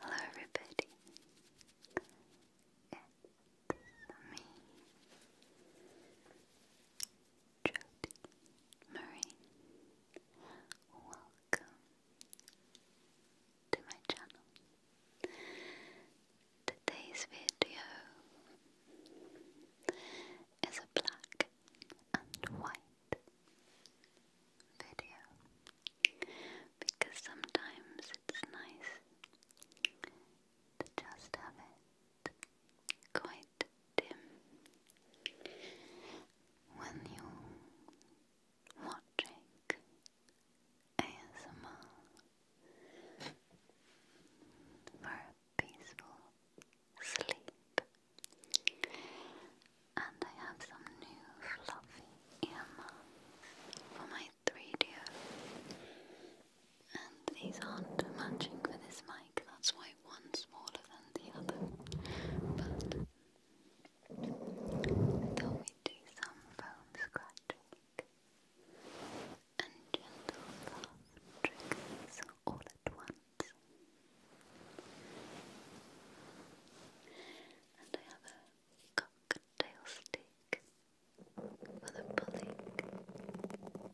Hello, everybody. It's me, Jody Marie. Welcome to my channel. Today's video is a black and white video because sometimes it's nice to just have it quite dim when you're watching ASMR for a peaceful sleep. And I have some new fluffy earmuffs for my 3DO. And these aren't matching for this mic, that's why one's smaller than the other. But we'd do some foam scratching and gentle fast triggers all at once and I have a cocktail stick for the pulling of fibres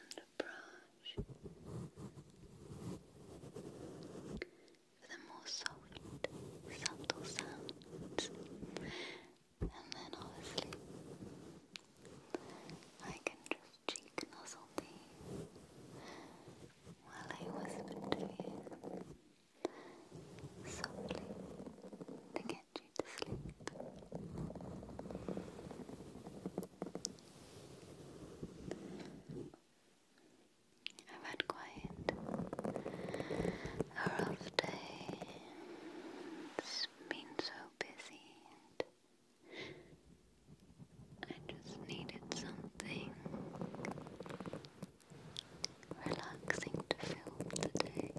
and a brush for the more soft, subtle sounds and then obviously I can just cheek nuzzle me while I whispered to you softly to get you to sleep. I've had quite a rough day. It's been so busy and I just needed something relaxing to fill the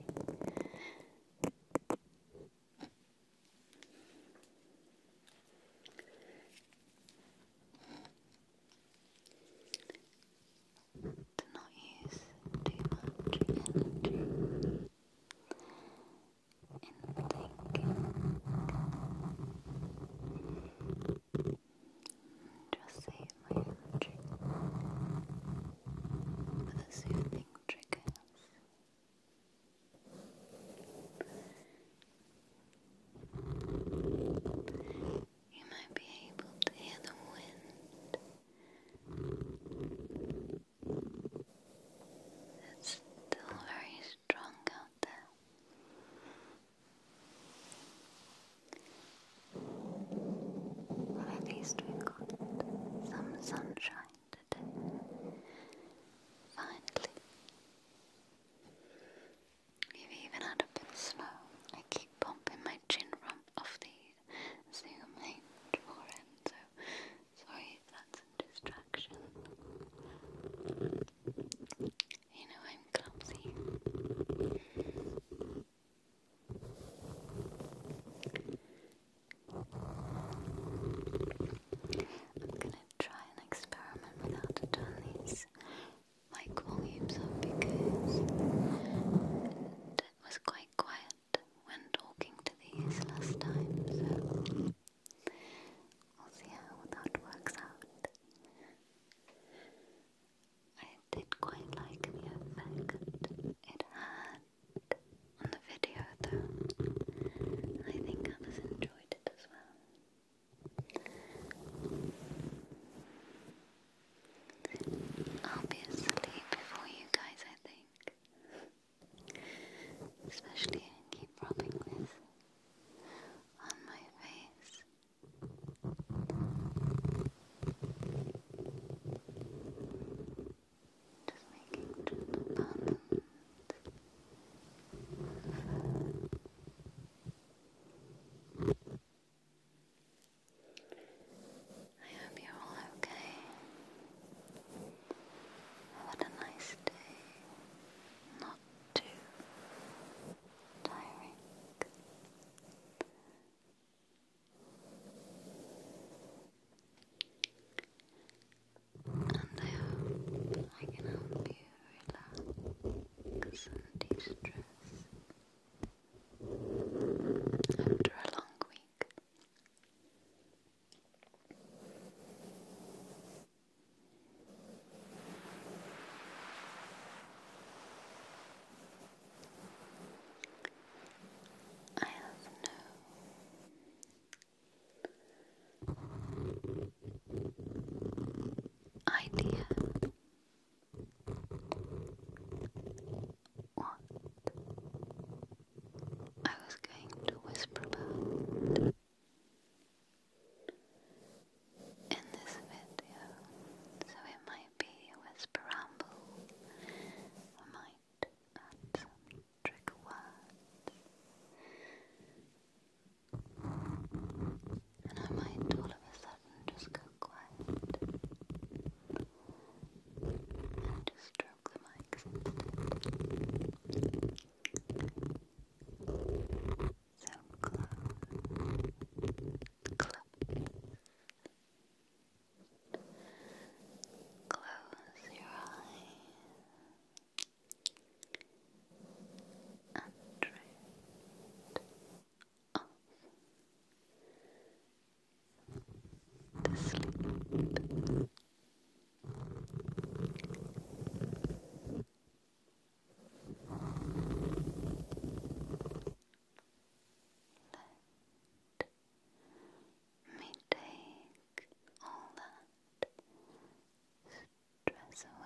To not use too much energy and thinking. Just my energy for the soothing triggers. You might be able to hear the wind. It's still very Drunk out there. At least we got some sunshine today. Finally. we even had a bit of snow. I keep bumping my chin from off the zoom hinge so sorry if that's a distraction. You know I'm clumsy. I'm gonna try and experiment with how these mic volumes up because it was quite quiet when talking to these last time, We'll see how that works out. I did quite like the effect it had on the video though. I think others enjoyed it as well. i before you guys, I think. Especially I keep rubbing this on my face. Just making sure the I hope you're all okay. Have a nice day not too tiring. And I can help you relax and de stress after a long week. I have no idea what I was going to whisper about in this video. So it might be a whisper ramble. I might add some trigger words. And I might all of a sudden just go quiet. And just stroke the mic. So close. Close. Close your eyes and drift off to sleep. Let me take all that stress away.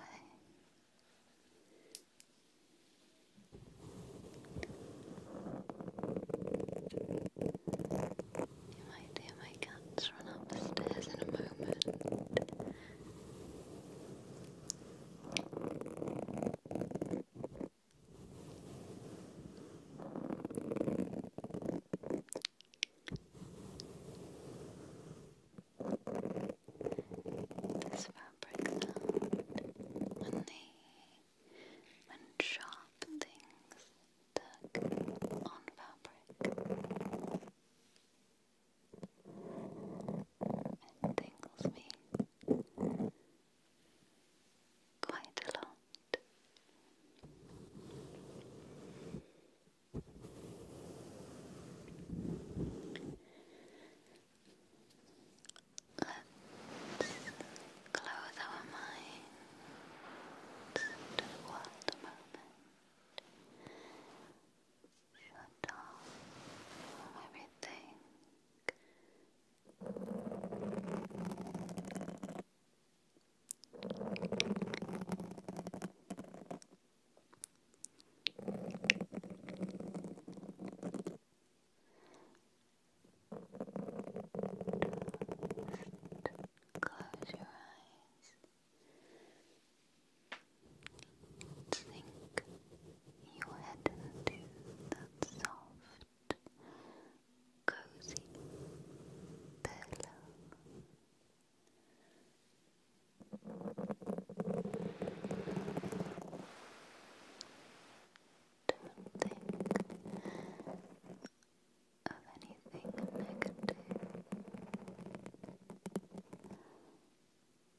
You might hear my cats run up the stairs in a moment. This fabric sound, when they, when things tuck on fabric. It tingles me quite a lot. Let's close our minds to a moment. Shut off everything. close your eyes. Sink your head into that soft, cozy pillow. Don't think of anything negative,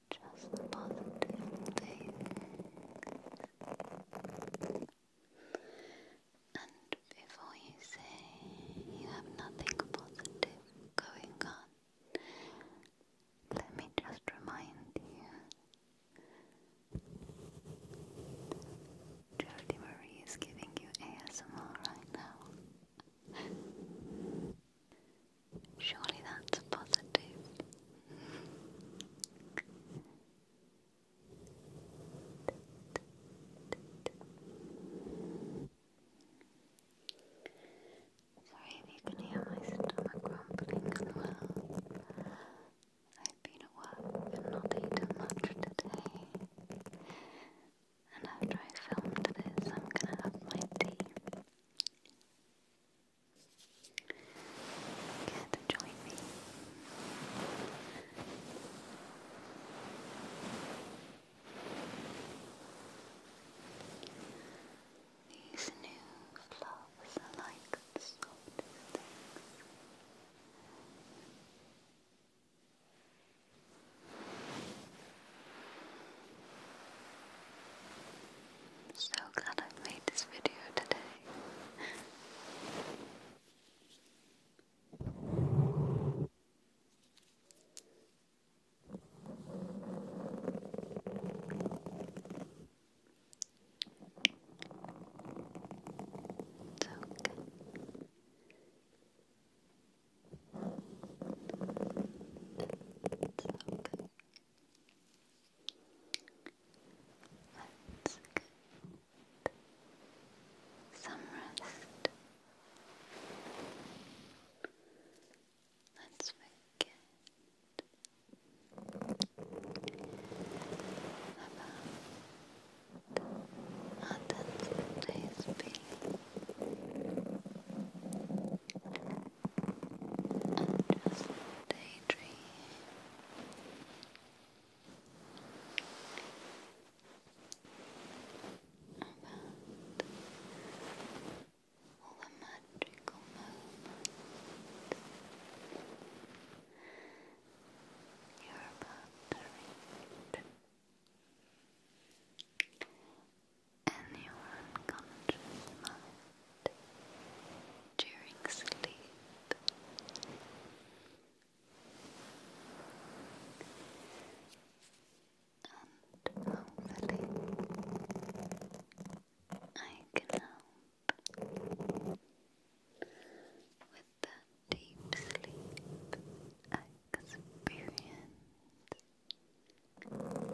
just positive things. And before you say you have nothing positive going on, let me just remind you Jodie Marie is giving you ASMR right now. Surely that's positive. Sorry if you can hear my stomach rumbling as well. I've been at work and not eaten much today and after I filmed this, I'm gonna have my tea. Care to join me? These new flowers are like the softest things. So glad I made this video today. It's okay. That's good. Some rest. Let's forget about Oh, that's a nice feeling. i just daydreaming. About all the magical moments you're about to read. In your unconscious mind, during sleep, and hopefully, I can help that deep sleep experience. I am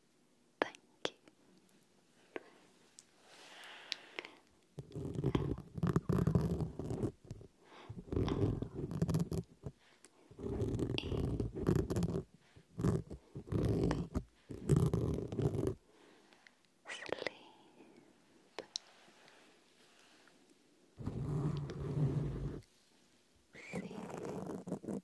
Thank you. L L E Sleep. Sleep.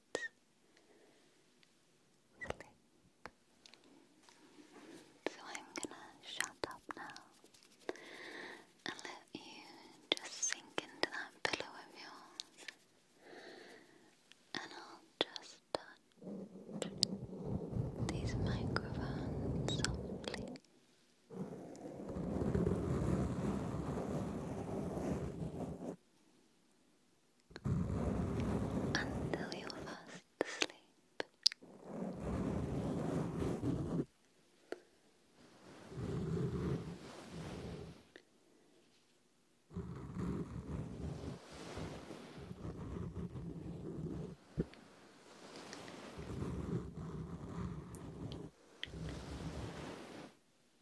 Flick. So I'm gonna shut up now and let you just sink into that pillow of yours, and I'll just touch these microphones softly until you're asleep.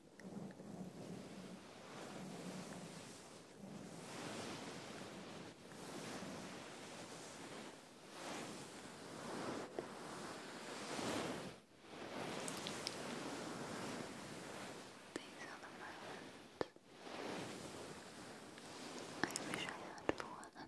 These are the moments I wish I had for them.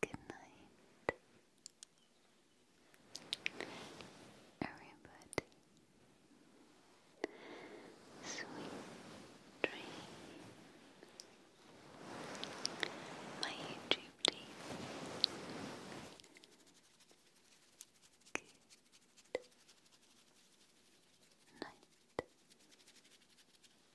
Good night, everybody. Sweet dream. My YouTube team. Good night.